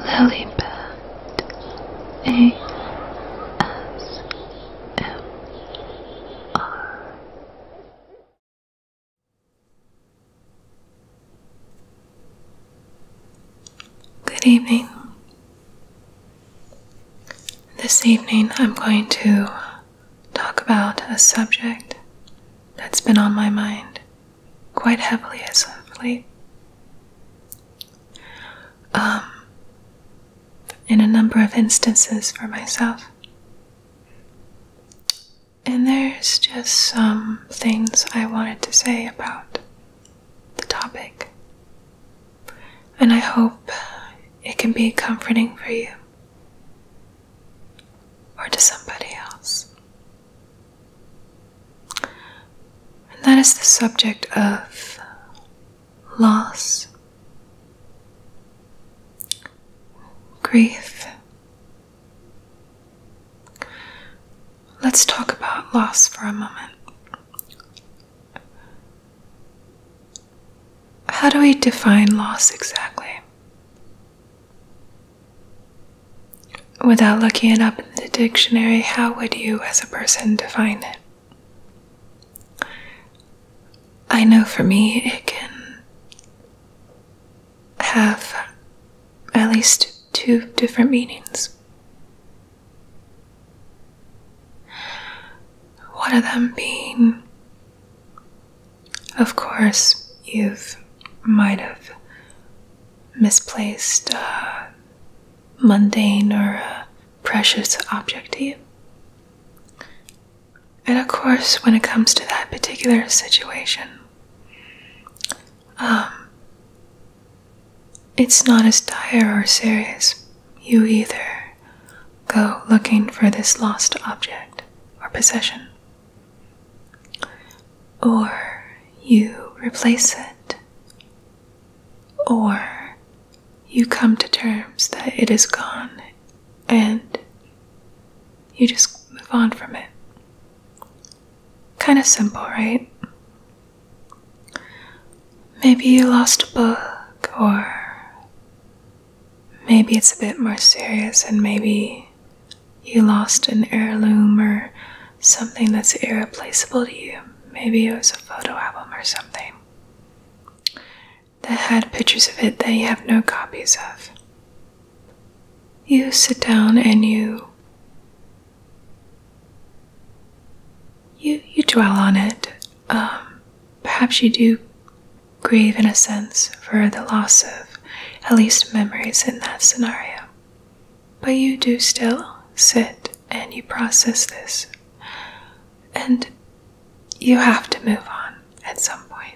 Lilybet ASMR Good evening. This evening I'm going to talk about a subject that's been on my mind quite heavily as of late. Um, in a number of instances for myself. And there's just some things I wanted to say about the topic. And I hope it can be comforting for you or to somebody else. And that is the subject of loss, grief. Let's talk about loss for a moment. How do we define loss exactly? Without looking it up in the dictionary, how would you as a person define it? I know for me, it can have at least two different meanings. One of them being of course, you've might have misplaced a mundane or precious object And of course, when it comes to that particular situation, um, it's not as dire or serious. You either go looking for this lost object or possession, or you replace it, or you come to terms that it is gone and you just move on from it. Kind of simple, right? Maybe you lost a book or maybe it's a bit more serious, and maybe you lost an heirloom or something that's irreplaceable to you. Maybe it was a photo album or something that had pictures of it that you have no copies of. You sit down and you you you dwell on it. Um, perhaps you do grieve in a sense for the loss of at least memories in that scenario. But you do still sit and you process this. And you have to move on at some point.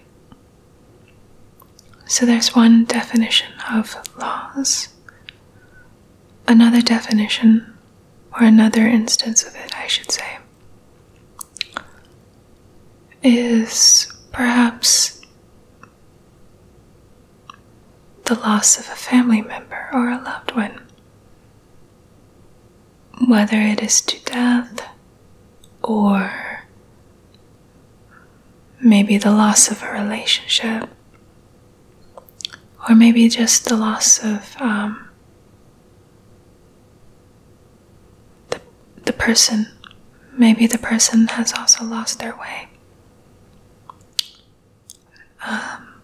So there's one definition of loss. Another definition, or another instance of it, I should say, is perhaps the loss of a family member or a loved one, whether it is to death or maybe the loss of a relationship, or maybe just the loss of um, the, the person. Maybe the person has also lost their way. Um,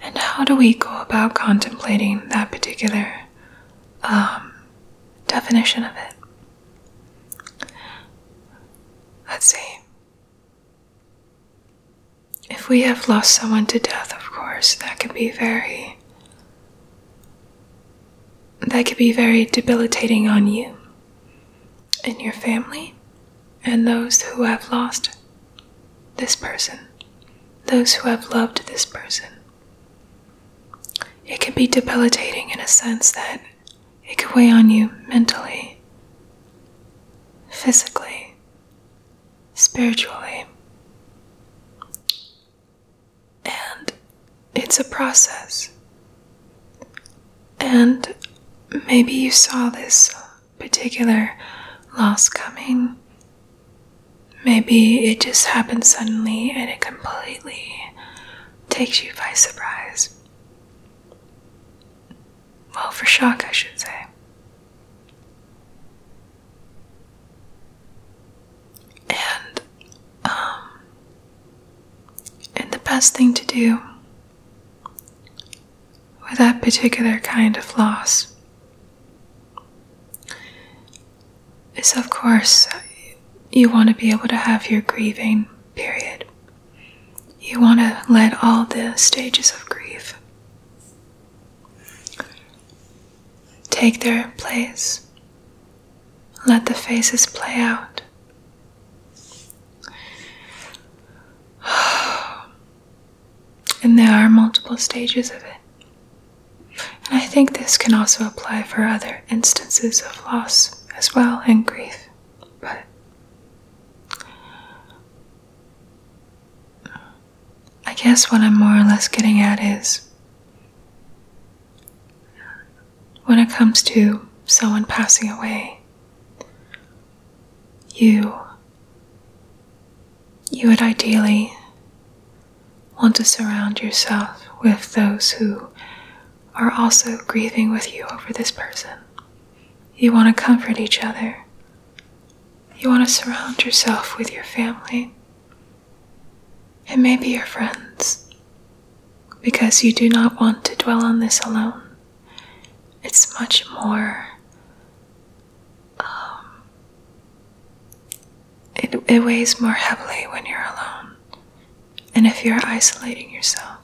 and how do we go about contemplating that particular um, definition of it? Let's see. If we have lost someone to death, of course, that can be very. That could be very debilitating on you and your family and those who have lost this person, those who have loved this person. It can be debilitating in a sense that it could weigh on you mentally, physically, spiritually. And it's a process. And maybe you saw this particular loss coming. Maybe it just happened suddenly and it completely takes you by surprise. Well, for shock, I should say. And um and the best thing to do with that particular kind of loss is of course you want to be able to have your grieving period. You want to let all the stages of grief take their place. Let the faces play out. And there are multiple stages of it. And I think this can also apply for other instances of loss as well and grief. But I guess what I'm more or less getting at is when it comes to someone passing away, you you would ideally want to surround yourself with those who are also grieving with you over this person. You want to comfort each other. You want to surround yourself with your family and maybe your friends because you do not want to dwell on this alone. It's much more. Um, it weighs more heavily when you're alone and if you're isolating yourself.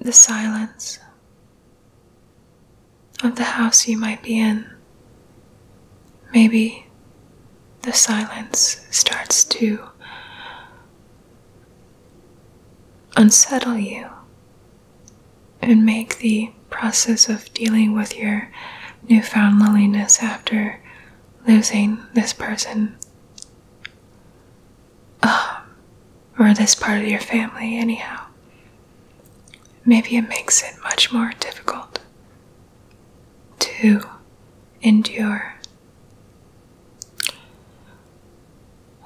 The silence of the house you might be in. Maybe the silence starts to unsettle you and make the process of dealing with your newfound loneliness after losing this person um, or this part of your family, anyhow. Maybe it makes it much more difficult to endure.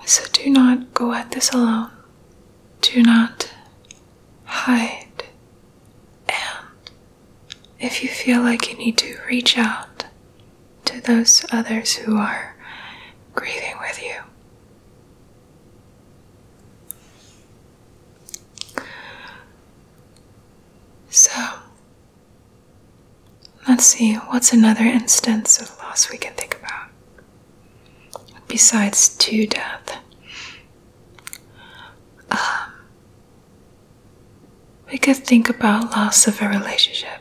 So do not go at this alone. Do not hide. And if you feel like you need to, reach out to those others who are grieving with you. So, let's see what's another instance of loss we can think about besides to death. Um, we could think about loss of a relationship.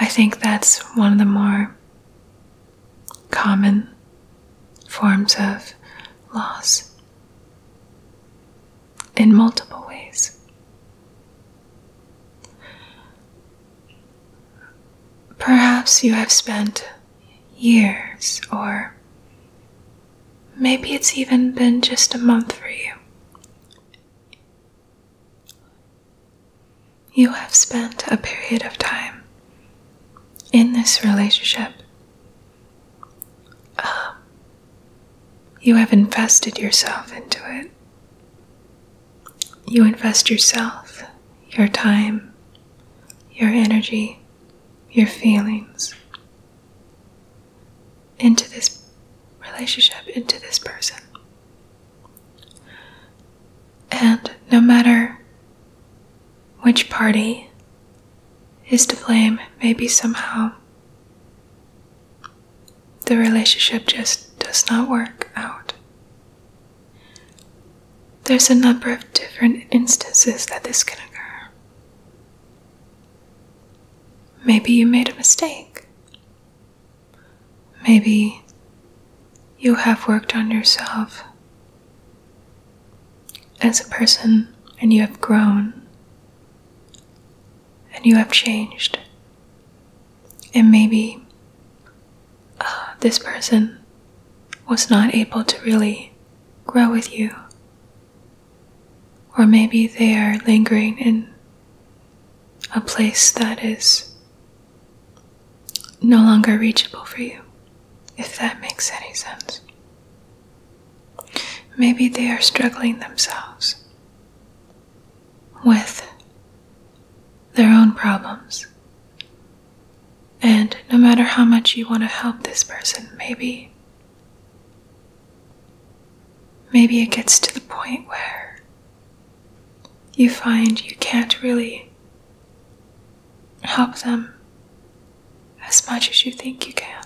I think that's one of the more common forms of loss in multiple ways. Perhaps you have spent years, or maybe it's even been just a month for you, you have spent a period of time in this relationship. Um, you have invested yourself into it. You invest yourself, your time, your energy, your feelings into this relationship, into this person. And no matter which party is to blame, maybe somehow the relationship just does not work out. There's a number of different instances that this can occur. Maybe you made a mistake. Maybe you have worked on yourself as a person and you have grown and you have changed. And maybe uh, this person was not able to really grow with you. Or maybe they are lingering in a place that is no longer reachable for you, if that makes any sense. Maybe they are struggling themselves with their own problems. And no matter how much you want to help this person, maybe maybe it gets to the point where you find you can't really help them as much as you think you can.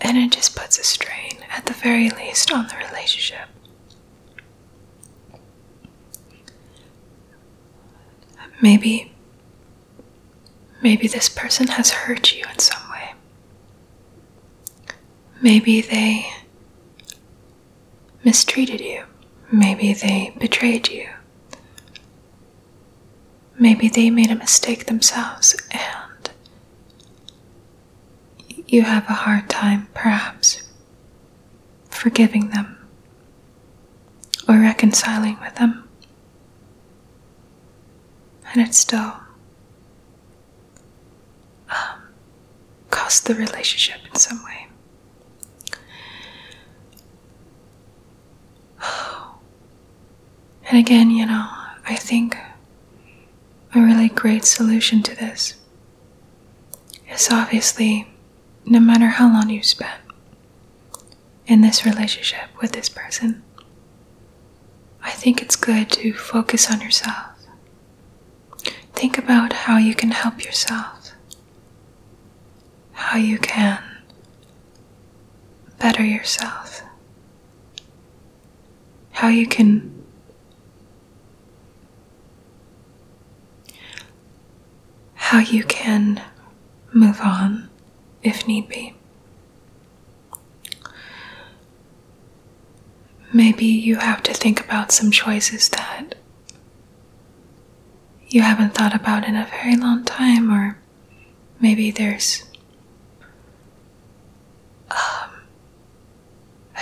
And it just puts a strain, at the very least, on the relationship. Maybe Maybe this person has hurt you in some way. Maybe they mistreated you. Maybe they betrayed you. Maybe they made a mistake themselves and you have a hard time, perhaps, forgiving them or reconciling with them and it still um, cost the relationship in some way. And again, you know, I think a really great solution to this is obviously no matter how long you've spent in this relationship with this person. I think it's good to focus on yourself. Think about how you can help yourself, how you can better yourself, how you can how you can move on if need be. Maybe you have to think about some choices that you haven't thought about in a very long time, or maybe there's um,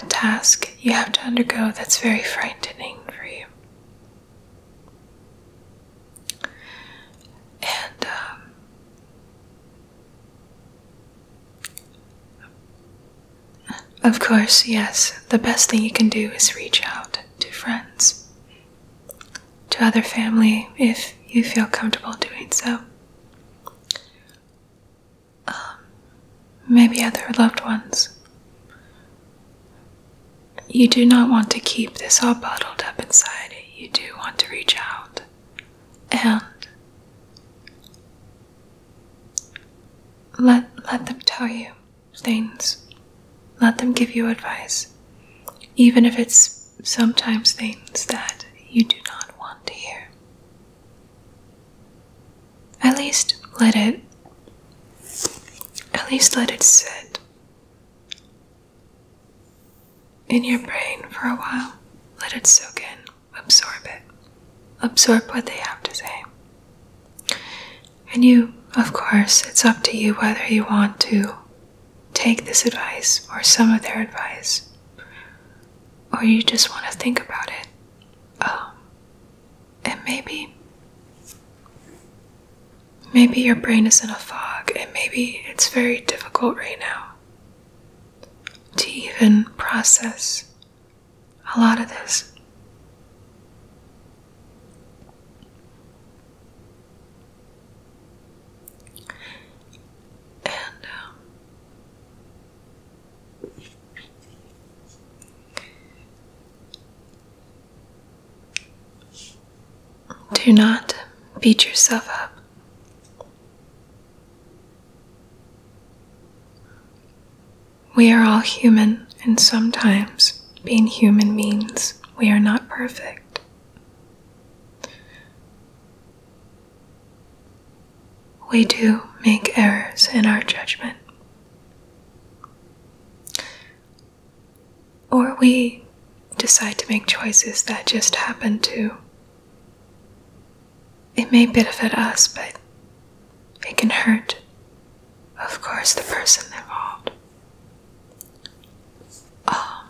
a task you have to undergo that's very frightening for you. And um, of course, yes, the best thing you can do is reach out to friends, to other family, if you feel comfortable doing so. Um, maybe other loved ones. You do not want to keep this all bottled up inside you do want to reach out and let let them tell you things. Let them give you advice. Even if it's sometimes things that you do not want to hear. At least let it at least let it sit in your brain for a while. Let it soak in, absorb it, absorb what they have to say. And you, of course, it's up to you whether you want to take this advice or some of their advice, or you just want to think about it. Um, and maybe Maybe your brain is in a fog, and maybe it's very difficult right now to even process a lot of this. And um, do not beat yourself up. We are all human, and sometimes being human means we are not perfect. We do make errors in our judgment. Or we decide to make choices that just happen to. It may benefit us, but it can hurt, of course, the person involved. Um,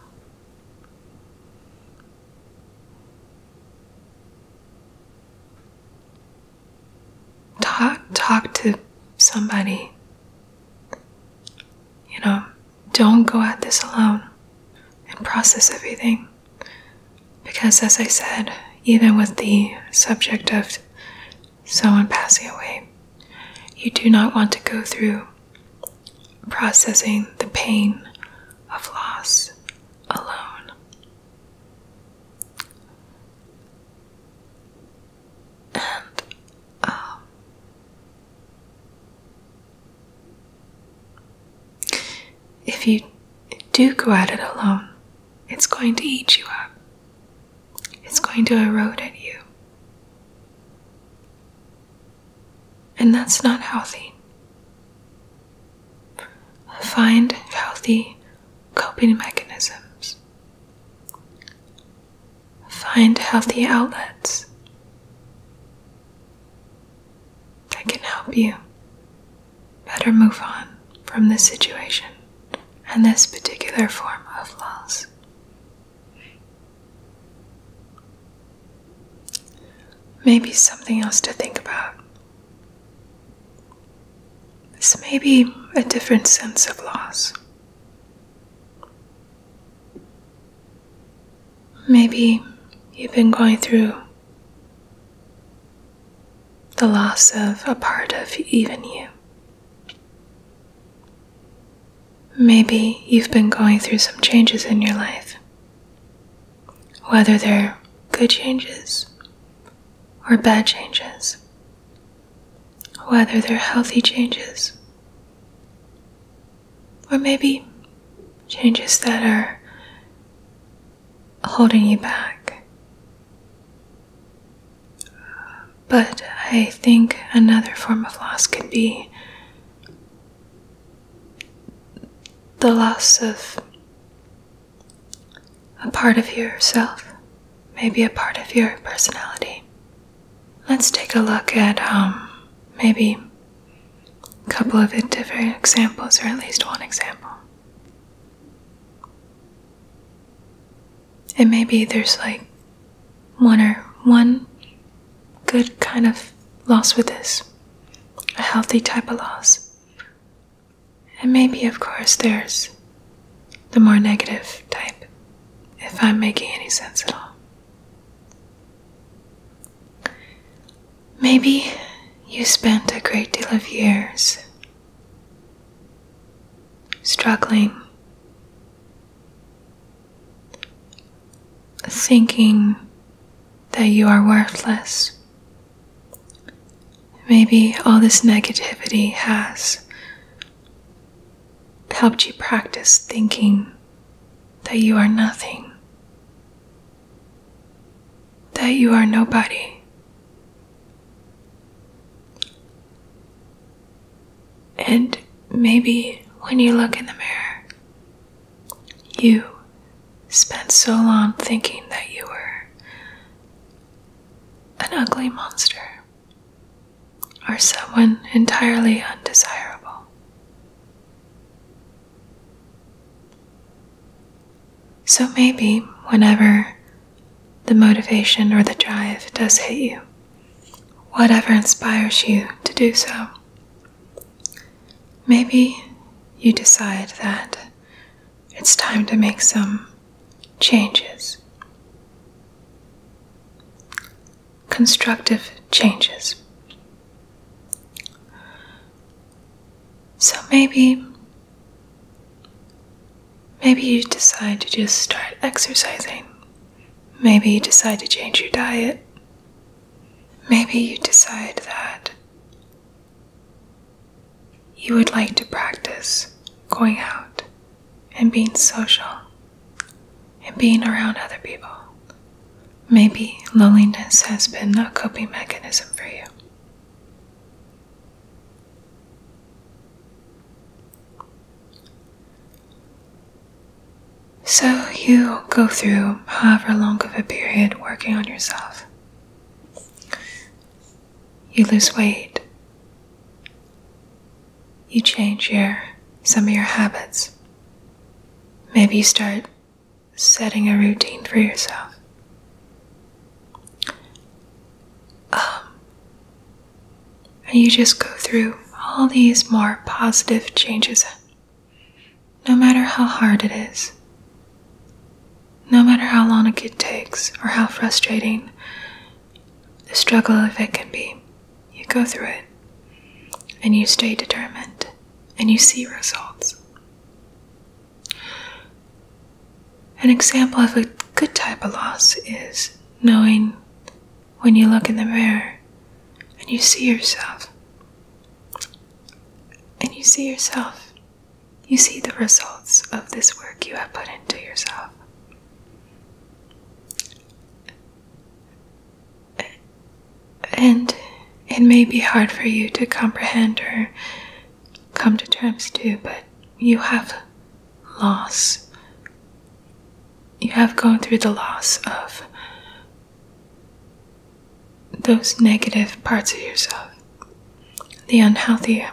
talk, talk to somebody. You know, don't go at this alone and process everything. Because, as I said, even with the subject of someone passing away, you do not want to go through processing the pain of loss alone. And um, if you do go at it alone, it's going to eat you up. It's going to erode at you. And that's not healthy. Find healthy coping mechanisms. Find healthy outlets that can help you better move on from this situation and this particular form of loss. Maybe something else to think about. This may be a different sense of loss. Maybe you've been going through the loss of a part of even you. Maybe you've been going through some changes in your life, whether they're good changes or bad changes, whether they're healthy changes or maybe changes that are holding you back. But I think another form of loss could be the loss of a part of yourself, maybe a part of your personality let's take a look at um, maybe a couple of different examples, or at least one example. And maybe there's like one or one good kind of loss with this, a healthy type of loss. And maybe, of course, there's the more negative type, if I'm making any sense at all. Maybe you spent a great deal of years struggling, thinking that you are worthless. Maybe all this negativity has helped you practice thinking that you are nothing, that you are nobody. And maybe when you look in the mirror, you spent so long thinking that you were an ugly monster. Are someone entirely undesirable. So maybe whenever the motivation or the drive does hit you, whatever inspires you to do so, maybe you decide that it's time to make some changes constructive changes. So maybe maybe you decide to just start exercising. Maybe you decide to change your diet. Maybe you decide that you would like to practice going out and being social and being around other people. Maybe loneliness has been a coping mechanism for you. So you go through however long of a period working on yourself. You lose weight you change your some of your habits. Maybe you start setting a routine for yourself. Um, and you just go through all these more positive changes, no matter how hard it is, no matter how long it takes or how frustrating the struggle of it can be you go through it and you stay determined and you see results. An example of a good type of loss is knowing when you look in the mirror and you see yourself. And you see yourself. You see the results of this work you have put into yourself and it may be hard for you to comprehend or come to terms to, but you have loss. You have gone through the loss of those negative parts of yourself, the unhealthy,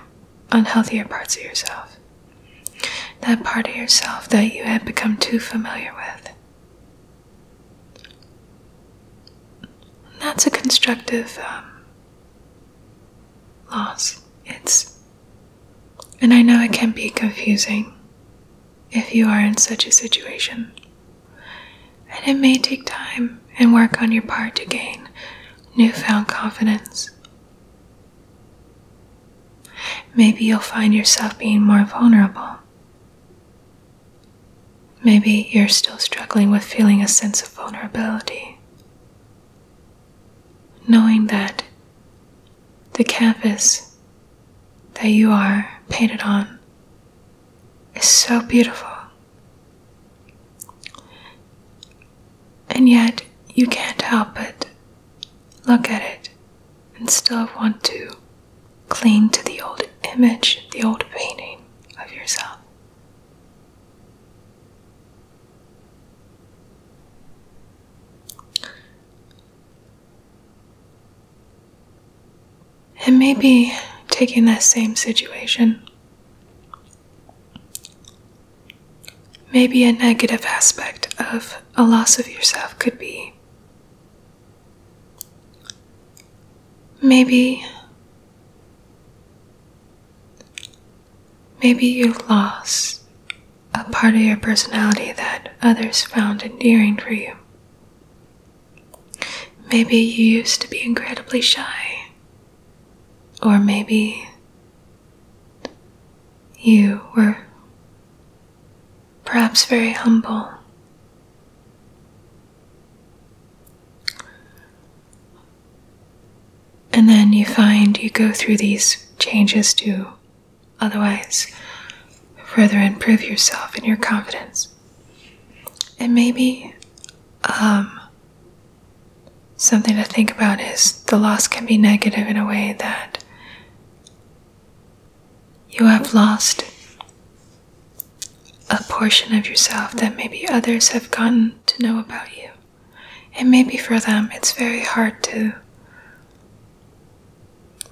unhealthier parts of yourself, that part of yourself that you had become too familiar with. That's a constructive um, loss. It's, and I know it can be confusing if you are in such a situation. And it may take time and work on your part to gain newfound confidence. Maybe you'll find yourself being more vulnerable Maybe you're still struggling with feeling a sense of vulnerability. Knowing that the canvas that you are painted on is so beautiful, and yet you can't help but look at it and still want to Cling to the old image, the old painting of yourself. And maybe taking that same situation, maybe a negative aspect of a loss of yourself could be Maybe. Maybe you lost a part of your personality that others found endearing for you. Maybe you used to be incredibly shy. Or maybe you were perhaps very humble. And then you find you go through these changes to otherwise further improve yourself and your confidence. And maybe um, something to think about is the loss can be negative in a way that you have lost a portion of yourself that maybe others have gotten to know about you. And maybe for them, it's very hard to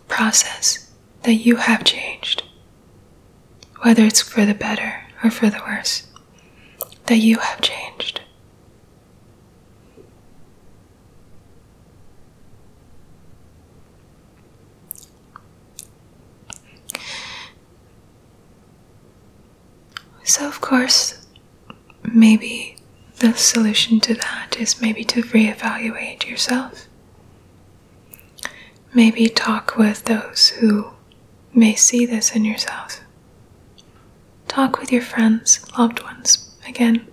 process that you have changed, whether it's for the better or for the worse, that you have changed. So, of course, maybe the solution to that is maybe to reevaluate yourself. Maybe talk with those who may see this in yourself. Talk with your friends, loved ones. Again,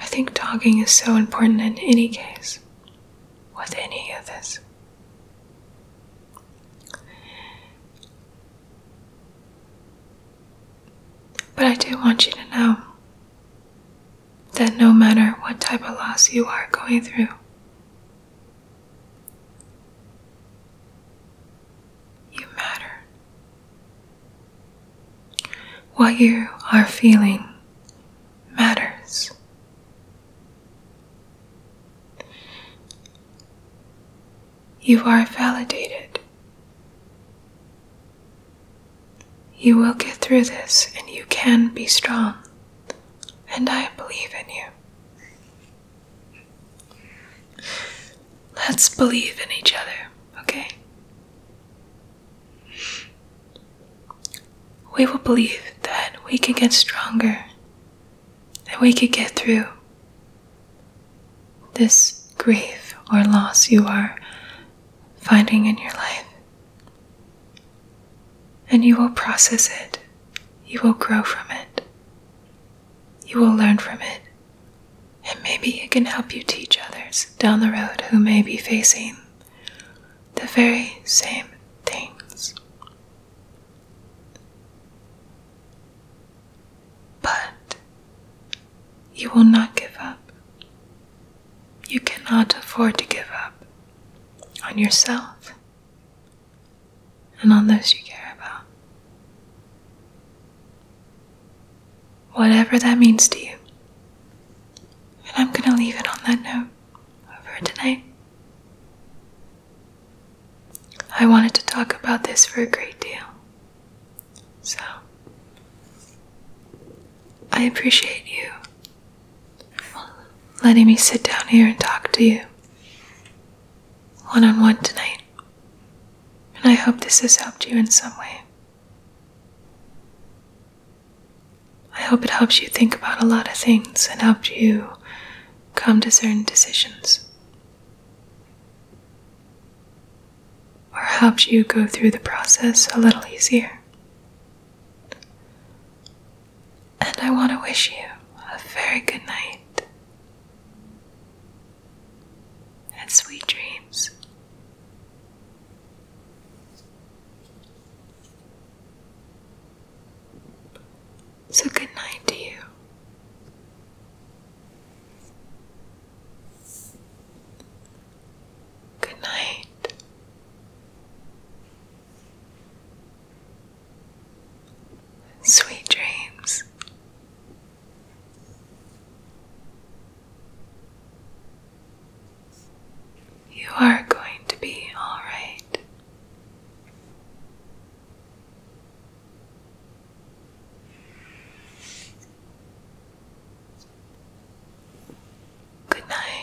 I think talking is so important in any case, with any of this. But I do want you to know that no matter what type of loss you are going through, you matter. What you are feeling matters. You are validated. You will get through this and you can be strong. And I believe in you. Let's believe in each other, okay? We will believe that we can get stronger, that we can get through this grief or loss you are finding in your life. And you will process it, you will grow from it, you will learn from it, and maybe it can help you teach others down the road who may be facing the very same things. But you will not give up. You cannot afford to give up on yourself and on those you care about whatever that means to you. And I'm going to leave it on that note for tonight. I wanted to talk about this for a great deal. So, I appreciate you letting me sit down here and talk to you one on one tonight. And I hope this has helped you in some way. I hope it helps you think about a lot of things and helped you come to certain decisions. Or helped you go through the process a little easier. And I want to wish you a very good night and sweet dreams. So, good night to you. Good night. Sweet dreams. You are going to be all right. Good night.